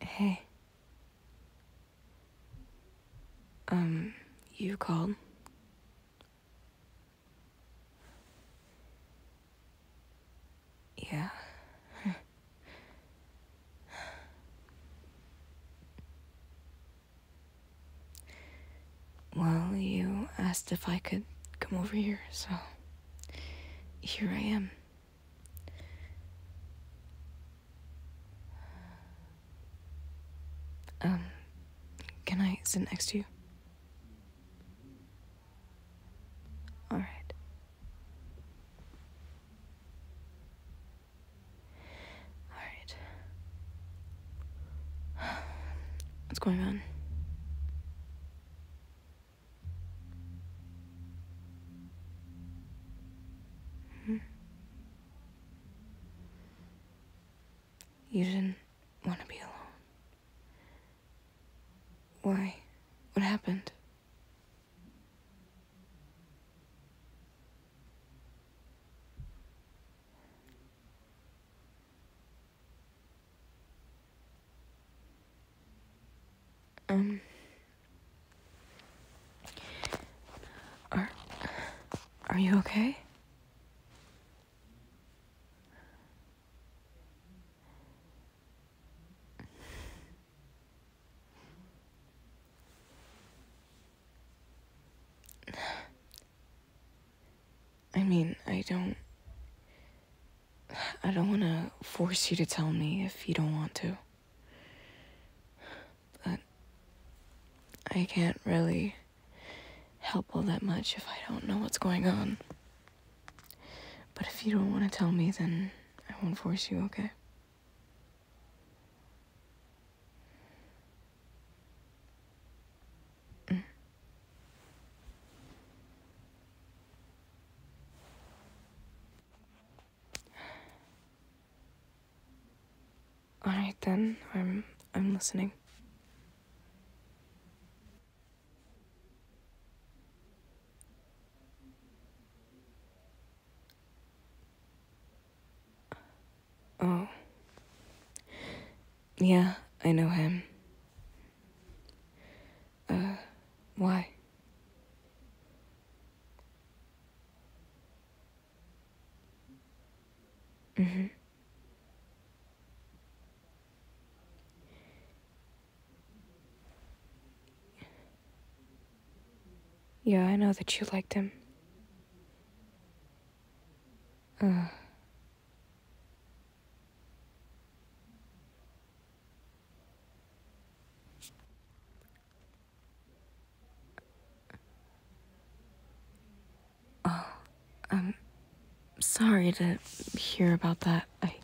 Hey. Um, you called? Yeah. well, you asked if I could come over here, so here I am. Um, can I sit next to you? All right. All right. What's going on? Hmm. You didn't want to be alone. Why? What happened? Um. Are, are you okay? I mean, I don't. I don't want to force you to tell me if you don't want to. But I can't really help all that much if I don't know what's going on. But if you don't want to tell me, then I won't force you, okay? Mm. All right then, I'm I'm listening. Oh. Yeah, I know him. Uh, why? Mm-hmm. Yeah, I know that you liked him. Uh. Oh, I'm um, sorry to hear about that. I.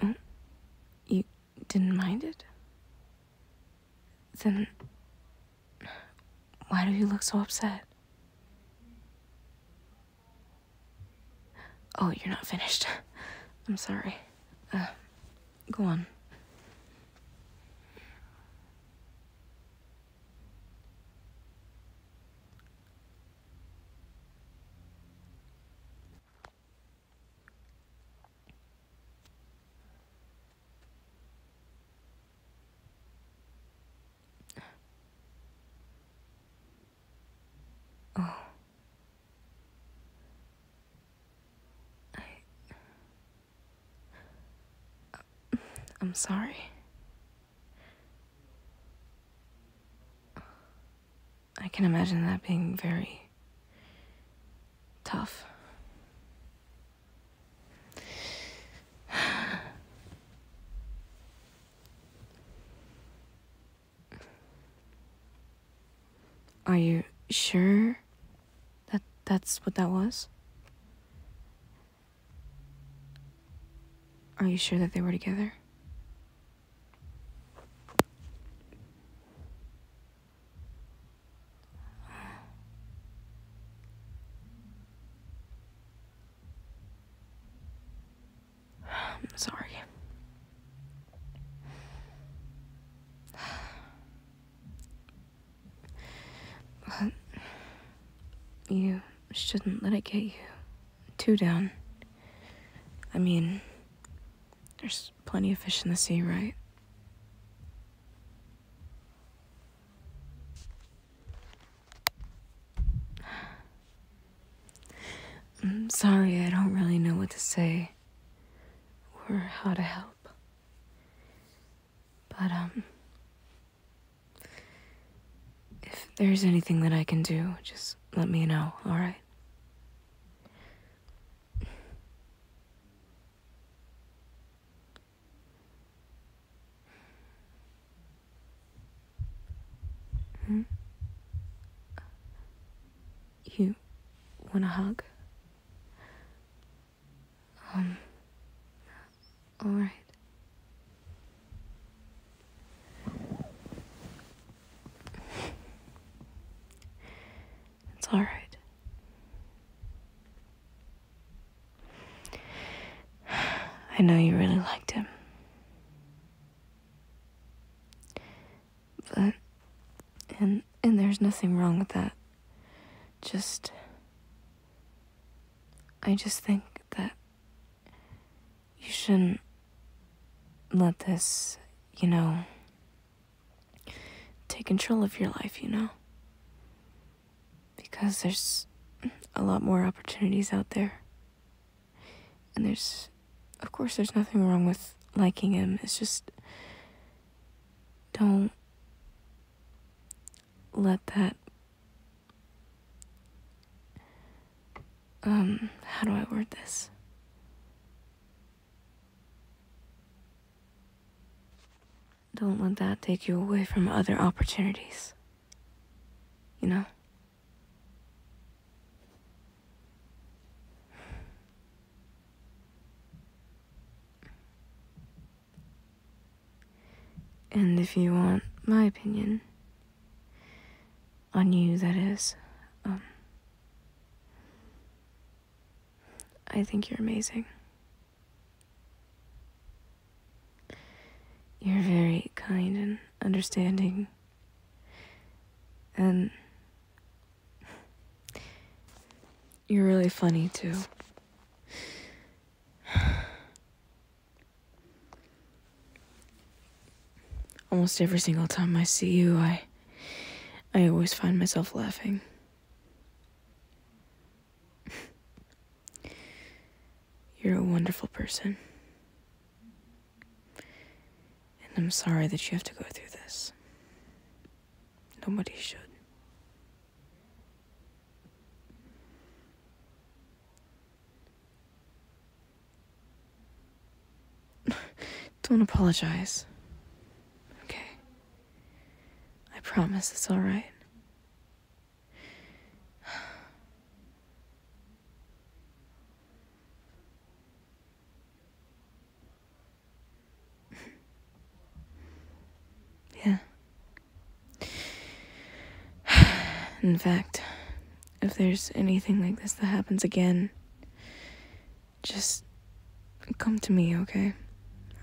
Um, you didn't mind it? Then. Why do you look so upset? Oh, you're not finished. I'm sorry. Uh, go on. Oh. I I'm sorry. I can imagine that being very tough. Are you sure that that's what that was? Are you sure that they were together? I'm sorry you shouldn't let it get you too down. I mean, there's plenty of fish in the sea, right? I'm sorry, I don't really know what to say or how to help. But, um, if there's anything that I can do, just let me know, alright? Hmm? You want a hug? Um, all right. It's all right. I know you really liked him. But and and there's nothing wrong with that. Just I just think that you shouldn't let this, you know, take control of your life, you know? Because there's a lot more opportunities out there. And there's, of course, there's nothing wrong with liking him. It's just don't let that. Um, how do I word this? Don't let that take you away from other opportunities. You know? And if you want my opinion on you, that is, um, I think you're amazing. You're very kind and understanding. And you're really funny, too. Almost every single time I see you, I I always find myself laughing. You're a wonderful person. And I'm sorry that you have to go through this. Nobody should. Don't apologize. Okay. I promise it's alright. yeah. In fact, if there's anything like this that happens again, just come to me, okay?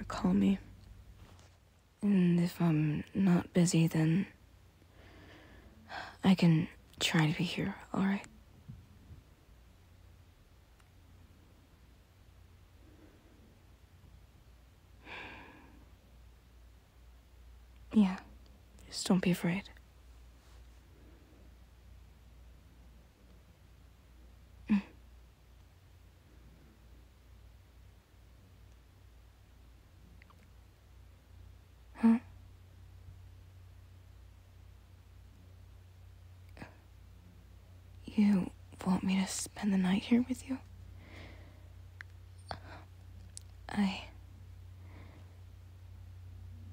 Or call me. And if I'm not busy, then I can try to be here, alright? Yeah. Just don't be afraid. Mm. Huh? You want me to spend the night here with you? I.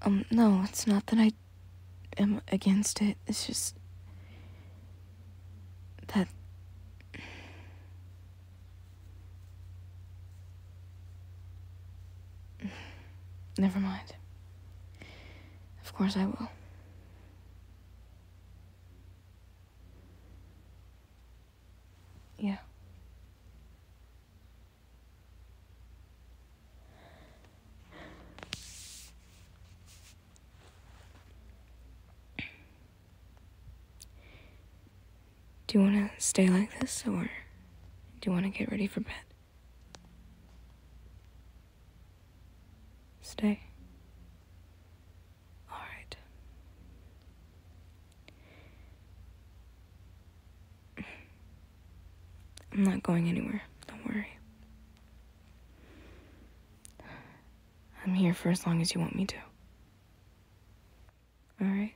Um, no, it's not that I am against it. It's just. that. Never mind. Of course I will. Yeah. Do you want to stay like this or do you want to get ready for bed? Stay. All right. I'm not going anywhere. Don't worry. I'm here for as long as you want me to. All right.